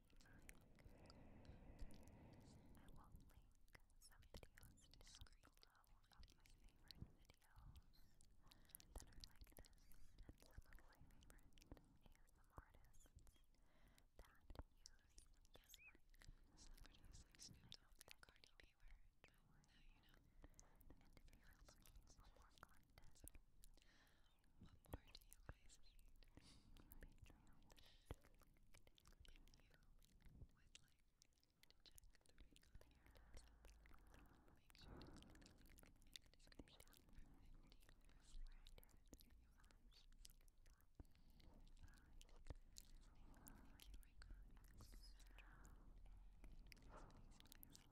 I will link some videos down below of my favorite videos that are like this and some of my favorite ASM artists that use Snoop Dogg Cardi B were now you know. if you're looking more content, what more do you guys need? If you would like to check the link on your desktop, make sure to click the link in the description for 15% video options. Thank you for coming. And please, please, please, at the back, relax